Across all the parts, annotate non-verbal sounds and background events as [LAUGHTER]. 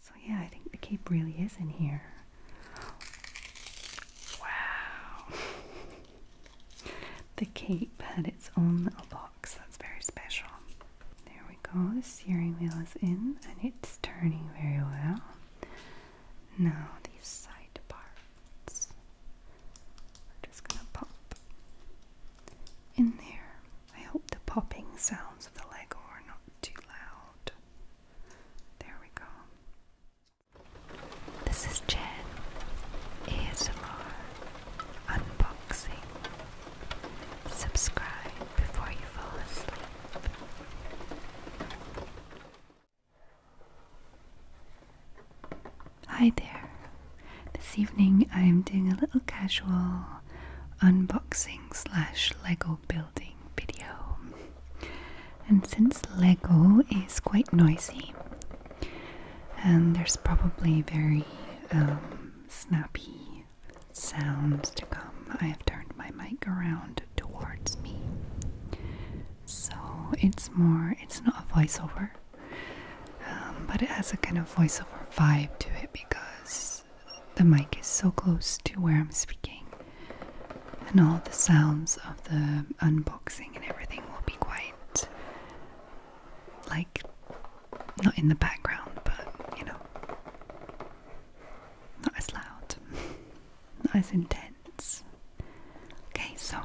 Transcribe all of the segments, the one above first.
So yeah, I think the cape really is in here. Wow. [LAUGHS] the cape had its own little box. That's very special. There we go. The steering wheel is in and it's turning very well. Now these side parts. We're just gonna pop in there. I hope the popping sounds of the Lego are not too loud. There we go. This is Jen ASMR Unboxing. Subscribe before you fall asleep. Hi there. This evening I'm doing a little casual unboxing slash Lego building video. And since Lego is quite noisy, and there's probably very um, snappy sounds to come, I have turned my mic around towards me. So it's more, it's not a voiceover, um, but it has a kind of voiceover vibe to it because the mic is so close to where I'm speaking, and all the sounds of the unboxing and everything will be quite like not in the background, but you know, not as loud, [LAUGHS] not as intense. Okay, so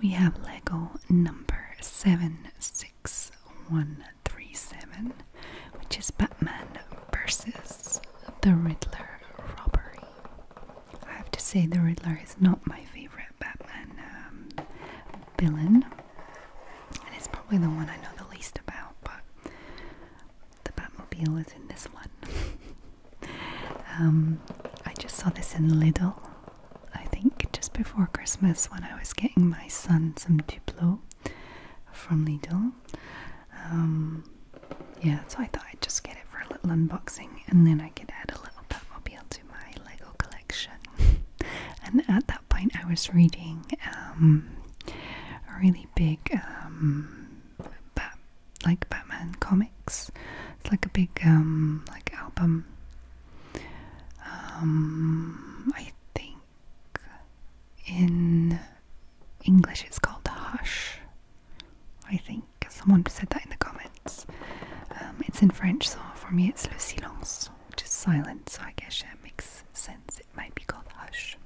we have Lego number 761 37, which is Batman versus the Riddler robbery. I have to say, the Riddler is not my favorite Batman um, villain, and it's probably the one I know the least about, but the Batmobile is in this one. [LAUGHS] Um, I just saw this in Lidl, I think, just before Christmas when I was getting my son some Duplo from Lidl. Um, yeah, so I thought I'd just get it for a little unboxing and then I could add a little Batmobile to my Lego collection. [LAUGHS] and at that point, I was reading um, a really big, um, Bat like Batman comics. It's like a big, like album. I think in English it's called Hush. I think someone said that in the comments. Um, it's in French, so for me it's Le Silence, which is silence, so I guess that makes sense. It might be called Hush.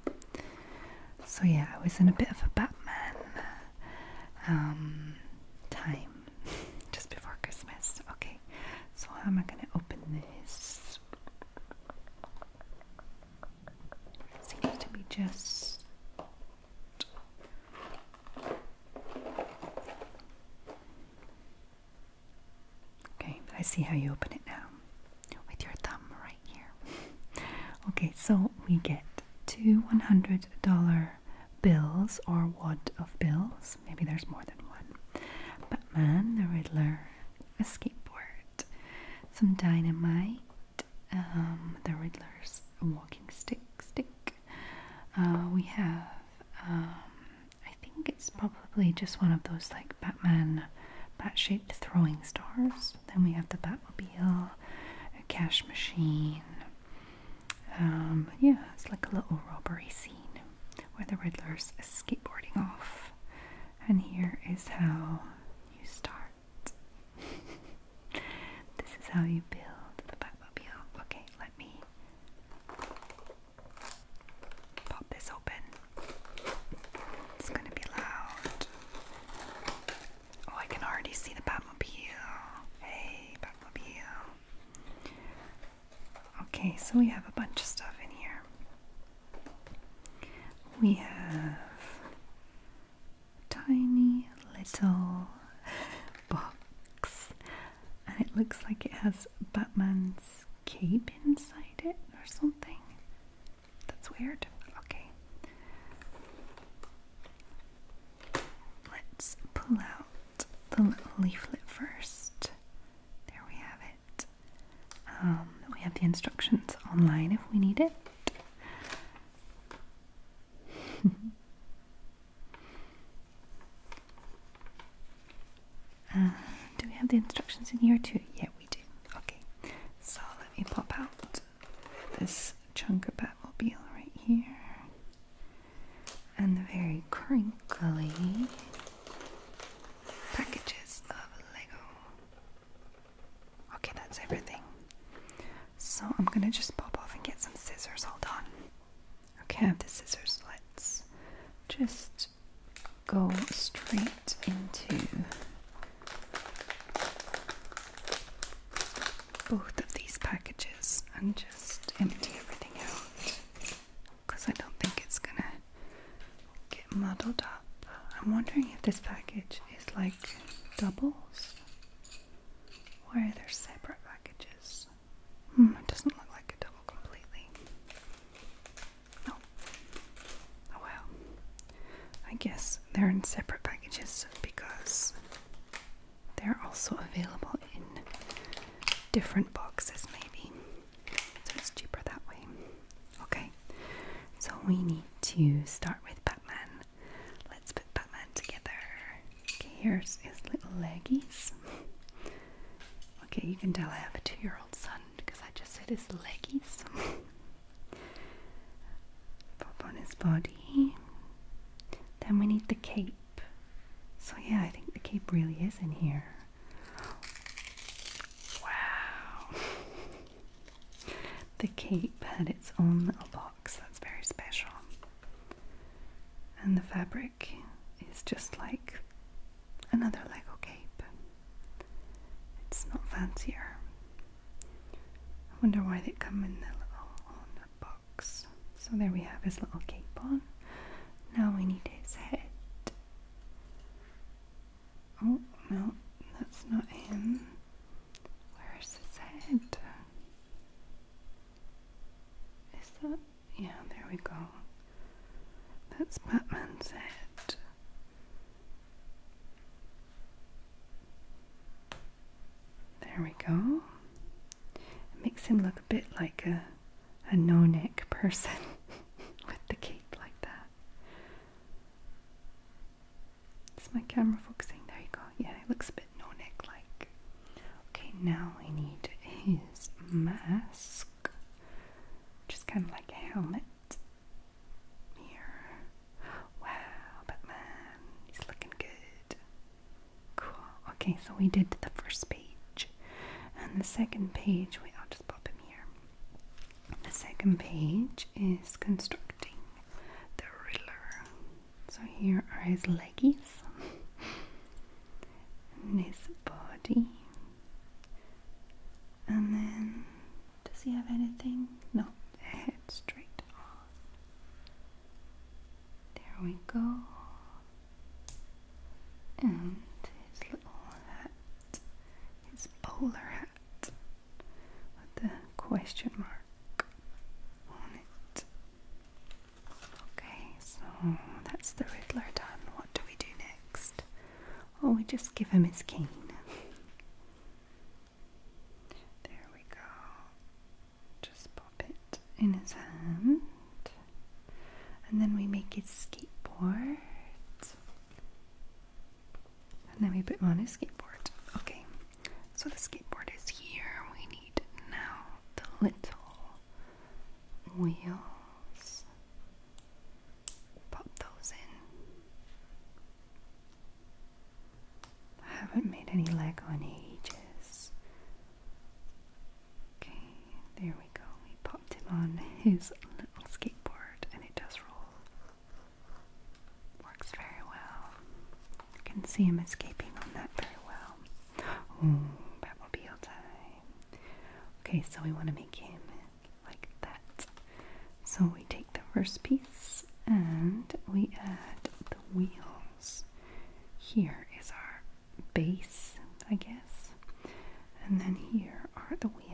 So yeah, I was in a bit of a Batman um, time [LAUGHS] just before Christmas. Okay, so how am I going to open this? Seems to be just Okay, I see how you open it now with your thumb right here. [LAUGHS] okay, so we get two $100 bills or wad of bills. Maybe there's more than one. Batman, the Riddler, a skateboard, some dynamite, um, the Riddler's walking stick. Stick. Uh, we have. Um, I think it's probably just one of those like Batman, bat-shaped throwing stars. Then we have the Batmobile, a cash machine. Um, yeah, it's like a little robbery scene where the Riddler's skateboarding off. And here is how you start. [LAUGHS] this is how you build the Batmobile. Okay, let me pop this open. It's gonna be loud. Oh, I can already see the Batmobile. Hey, Batmobile. Okay, so we have a bunch of stuff in here. We have tiny little box and it looks like it has Batman's cape inside it or something. That's weird. Okay. Let's pull out the little leaflet first. There we have it. Um, we have the instructions online if we need it. [LAUGHS] Uh, do we have the instructions in here too? Yeah, we do. Okay, so let me pop out this chunk of Batmobile right here and the very crinkly Packages of Lego. Okay, that's everything. So I'm gonna just pop off and get some scissors. Hold on. Okay, I have the scissors. Let's just go straight into both of these packages and just empty everything out because I don't think it's gonna get muddled up. I'm wondering if this package is like doubles Why are there separate packages? Hmm, it doesn't look like a double completely. No. Oh well. I guess they're in separate packages because they're also available in different boxes, maybe. So it's cheaper that way. Okay, so we need to start with Batman. Let's put Batman together. Okay, here's his little leggies. Okay, you can tell I have a two year old son because I just said his leggies. Pop on his body. Then we need the cape. So, yeah, I think the cape really is in here. Wow. the cape had its own little box, that's very special. And the fabric is just like another Lego cape. It's not fancier. I wonder why they come in the little on box. So there we have his little cape on. Now we need his head. Oh, no, that's not him. Where is his head? Is that? Yeah, there we go. That's Batman's head. There we go. It makes him look a bit like a, a no neck person [LAUGHS] with the cape like that. Is my camera focusing? There you go. Yeah, it looks a bit no neck like. Okay, now I need his mask, which is kind of like a helmet. Here. Wow, Batman, he's looking good. Cool. Okay, so we did the first page. And the second page, wait, I'll just pop him here. The second page is constructing the ruler. So here are his leggies, [LAUGHS] and his body. And then, does he have anything? No, head straight on. There we go. And his little hat his bowler hat with the question mark on it. Okay, so that's the Riddler done. What do we do next? Oh, we just give him his cane. there we go. Just pop it in his hand. And then we make his skateboard. And then we put him on his skateboard. Okay, so the skateboard is here. We need now the little wheels. Pop those in. I haven't made any Lego on ages. Okay, there we go we go. We popped him on his little skateboard and it does roll. Works very well. You can see him escaping on that very well. Batmobile time. Okay, so we want to make him like that. So we take the first piece and we add the wheels. Here is our base, I guess. And then here are the wheels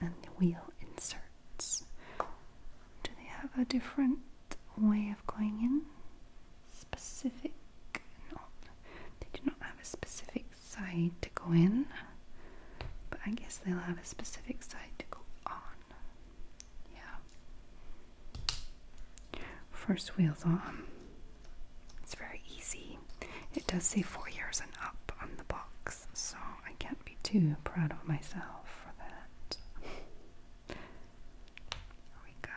and the wheel inserts. Do they have a different way of going in? Specific? they do not have a specific side to go in, but I guess they'll have a specific side to go on. Yeah. First wheel's on. It's very easy. It does say four years and up on the box, so I can't be too proud of myself for that. Here we go.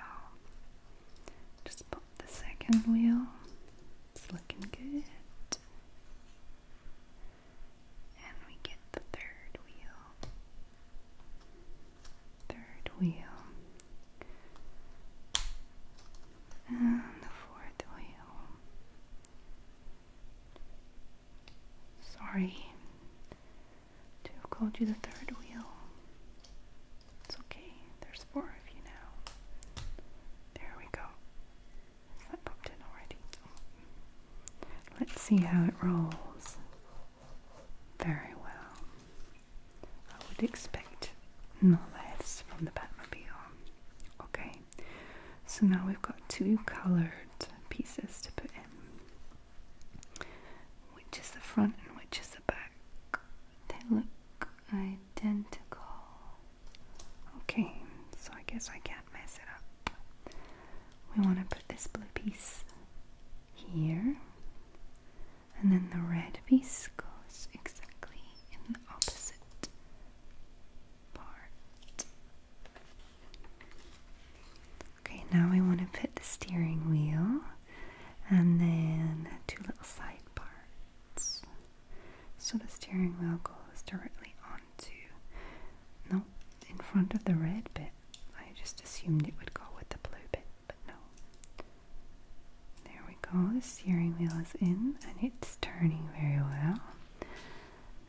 Just pop the second wheel. It's looking good. And we get the third wheel. Third wheel. And the fourth wheel. Sorry to have called you the third wheel. It's okay. There's four of you now. There we go. Is that popped in already? Let's see how it rolls. Very well. I would expect no less from the Batmobile. Okay so now we've got two coloured pieces to put in. Which is the front and which is the back? They look identical. Okay, so I guess I can't mess it up. We want to put this blue piece here, and then the red piece goes exactly in the opposite Okay, now we want to put the steering wheel and then two little side parts. So the steering wheel goes directly onto, no, in front of the red bit. I just assumed it would go with the blue bit, but no. There we go, the steering wheel is in and it's turning very well.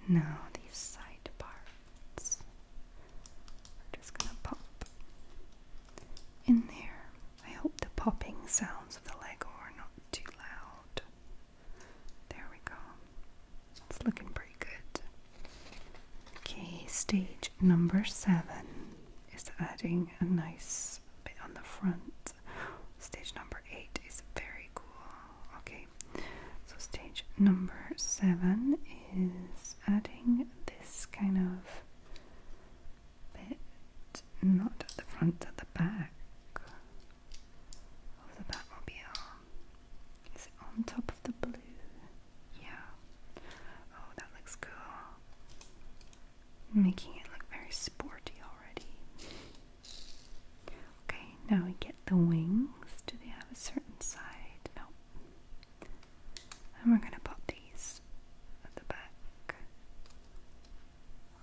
Now these side parts are just gonna pop in there. I hope the popping sounds of the Lego are not too loud. There we go. It's looking pretty good. Okay, stage number seven is adding a nice bit on the front. Stage number eight is very cool. Okay, so stage number seven is adding this kind of bit, not at the front, at the back of the Batmobile. Is it on top of the blue? Yeah. Oh, that looks cool making it look very sporty already. Okay, now we get the wings. Do they have a certain side? No. And we're going to pop these at the back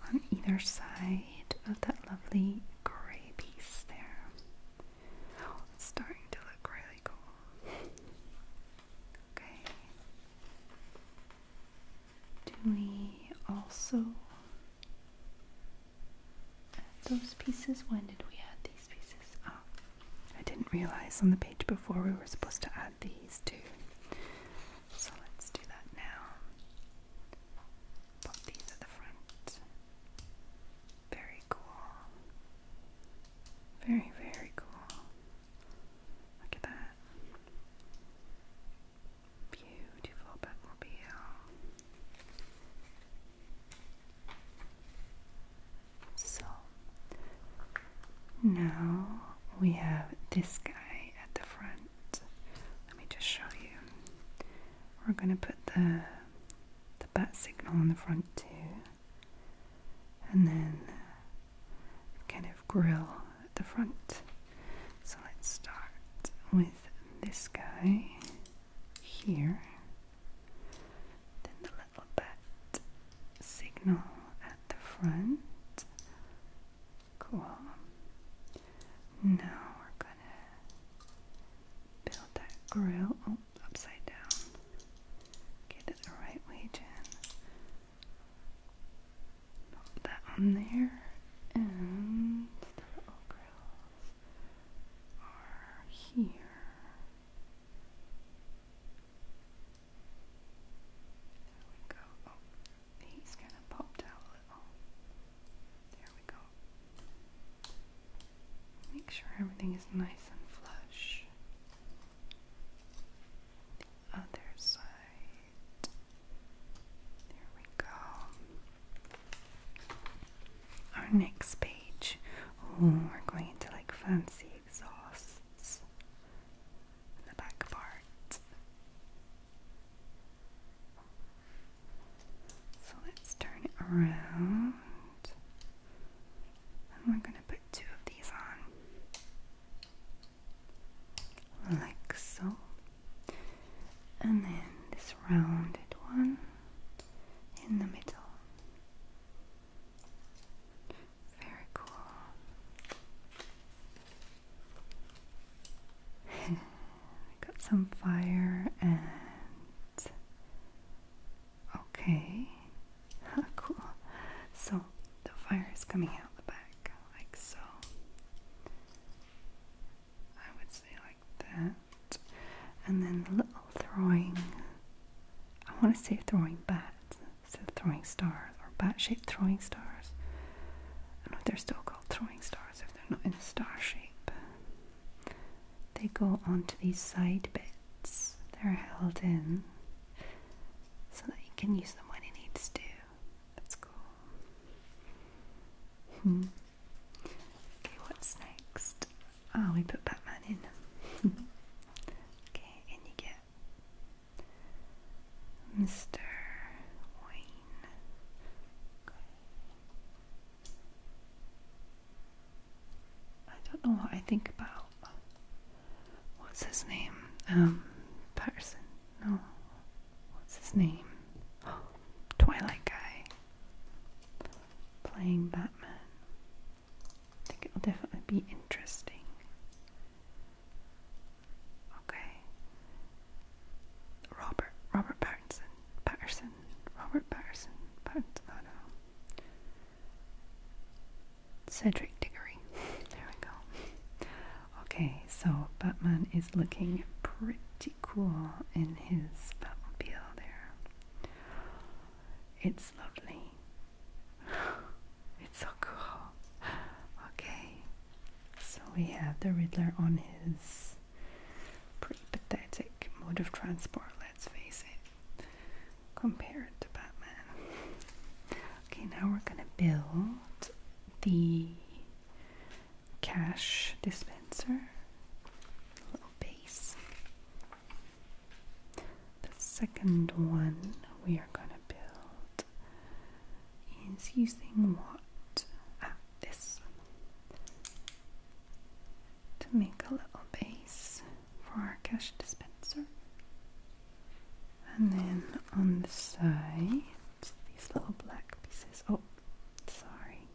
on either side of that lovely gray piece there. Oh, it's starting to look really cool. Okay. Do we also add those pieces? When did we add these pieces? Oh, I didn't realize on the page before we were supposed to add these too. So let's do that now. Pop these at the front. Very cool. Very, very cool. Look at that. Beautiful Batmobile. So now we have this guy at the front. Let me just show you. We're gonna put the the bat signal on the front too, and then kind of grill at the front. So let's start with this guy here, then the little bat signal at the front. Cool. Now we're gonna build that grill. Oh, upside down. Get it the right way, Jen. Put that on there, and the little grills are here. There we go. Oh, he's kind of popped out a little. There we go. Make sure everything is nice and flush. The other side. There we go. Our next page. Oh, we're going into like fancy exhausts in the back part. So let's turn it around. And we're going to put two of these on like so and then this rounded one in the middle very cool [LAUGHS] got some fire and okay [LAUGHS] cool so the fire is coming out the back like so. I would say like that. And then little throwing, I want to say throwing bats, so throwing stars or bat shaped throwing stars. I know they're still called throwing stars if they're not in a star shape. They go onto these side bits, they're held in so that you can use them when you need to. That's cool. Hmm. Okay, what's next? Oh, we put Batman in. [LAUGHS] okay, and you get Mr. Wayne. I don't know what I think about what's his name? Um, Patterson. No. What's his name? [GASPS] Twilight guy. Playing Batman. I think it'll definitely be interesting. Okay. Robert Robert Patterson. Patterson. Robert Patterson. Patterson. I don't know. Cedric Diggory. [LAUGHS] there we go. Okay, so Batman is looking pretty cool in his Batmobile there. It's lovely. [LAUGHS] it's so cool. Okay, so we have the Riddler on his pretty pathetic mode of transport, let's face it, compared to Batman. Okay, now we're gonna build the cash dispenser, little base. The second one we are going to build is using what? Ah, this. To make a little base for our cash dispenser. And then on the side, these little black pieces. Oh, sorry.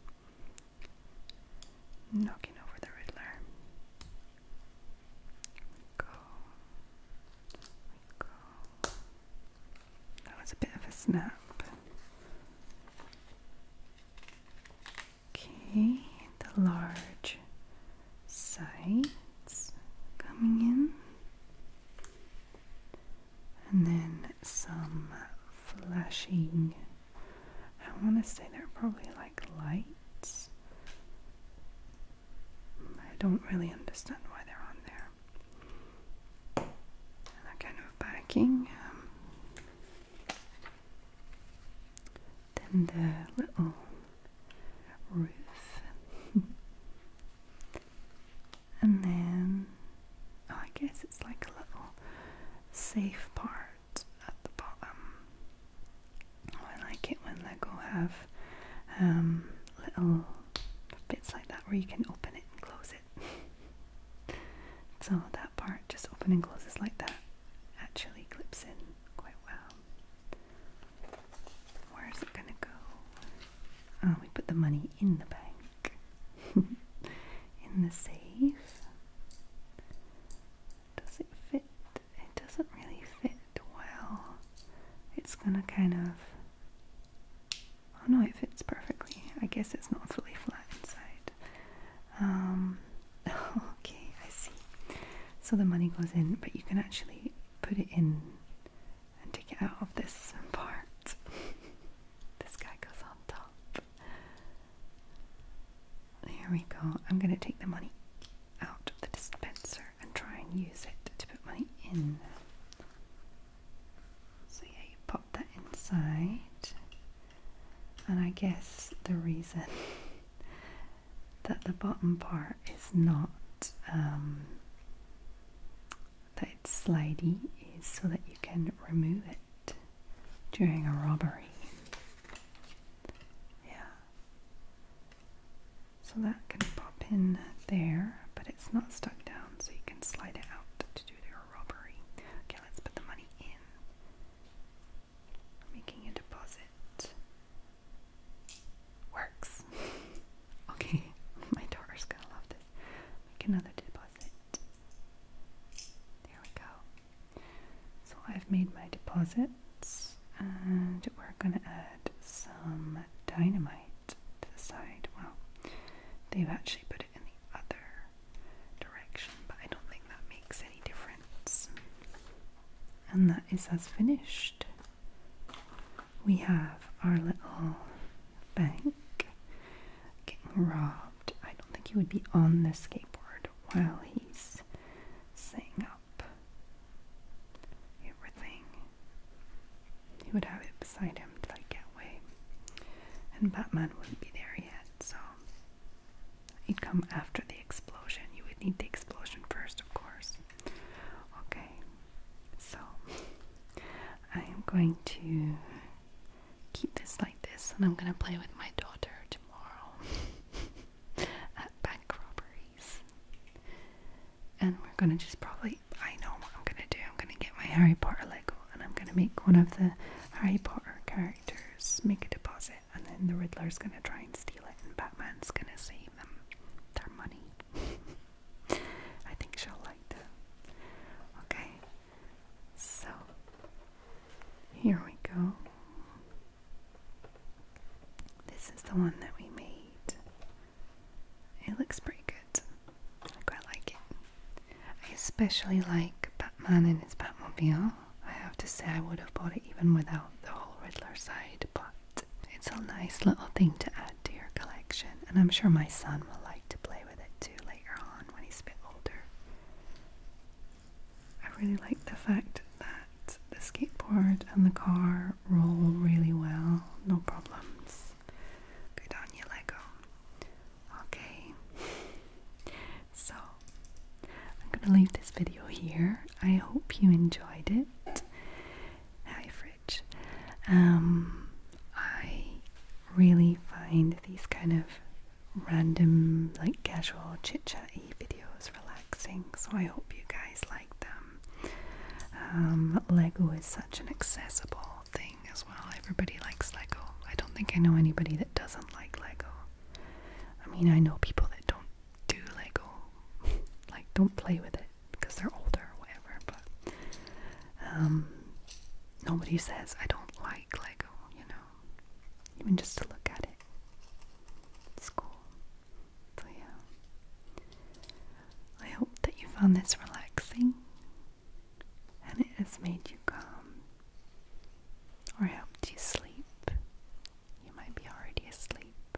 Knocking over the Riddler. Go. Go. That was a bit of a snap. Okay, the large sides coming in and then some flashing. I want to say they're probably like lights. I don't really understand why they're on there. And that kind of backing. Um, then the little roof. [LAUGHS] and then oh, I guess it's like a little safe part at the bottom. I like it when Lego have um, little bits like that where you can open it and close it. [LAUGHS] so that part just open and closes like that actually clips in quite well. Where is it going to go? Oh, we put the money in the bank, [LAUGHS] in the safe. Does it fit? It doesn't really fit well. It's going to kind of. Oh no, it fits perfectly. I guess it's not fully flat inside. Um, [LAUGHS] okay, I see. So the money goes in, but you can actually put it in and to get out of this part. [LAUGHS] this guy goes on top. Here we go. I'm going to take the money out of the dispenser and try and use it to put money in. So, yeah, you pop that inside. And I guess the reason [LAUGHS] that the bottom part is not um, that it's slidey is so that you can remove it during a robbery. Yeah. So that can pop in there, but it's not stuck down, so you can slide it out to do your robbery. Okay, let's put the money in. Making a deposit works. [LAUGHS] Okay, [LAUGHS] my daughter's gonna love this. Make another deposit. There we go. So I've made my deposits and we're gonna add some dynamite to the side. Well, they've actually put it in the other direction, but I don't think that makes any difference. And that is as finished we have our little bank getting robbed. I don't think he would be on the skateboard while he's setting up everything. He would have it beside him to like get away. And Batman wouldn't be there yet, so he'd come after the explosion. You would need the explosion first, of course. Okay, so I am going to keep this like this and I'm gonna play with my daughter tomorrow [LAUGHS] at bank robberies. And we're gonna just probably, I know what I'm gonna do. I'm gonna get my Harry Potter Lego and I'm gonna make one of the Harry Potter characters make a deposit and then the Riddler is gonna try and steal it and Batman's gonna save them their money. [LAUGHS] I think she'll like that. Okay, so here we go. This is the one that we made. It looks pretty good. I quite like it. I especially like Batman and his Batmobile. I have to say, I would have bought it even without the whole Riddler side, but it's a nice little thing to add to your collection, and I'm sure my son will like to play with it too later on when he's a bit older. I really like the fact that the skateboard and the car roll really well, no problems. Good on you, Lego. Okay, so I'm gonna leave this video here. I hope you enjoyed it. Hi, friends. Um, I really find these kind of random, like casual chit chatty videos relaxing, so I hope you guys like them. Um, Lego is such an accessible thing as well. Everybody likes Lego. I don't think I know anybody that doesn't like Lego. I mean, I know people that don't do Lego, [LAUGHS] like, don't play with it because they're older or whatever, but um, nobody says I don't like like oh, you know, even just to look at it. It's cool. So, yeah. I hope that you found this relaxing and it has made you calm or helped you sleep. You might be already asleep.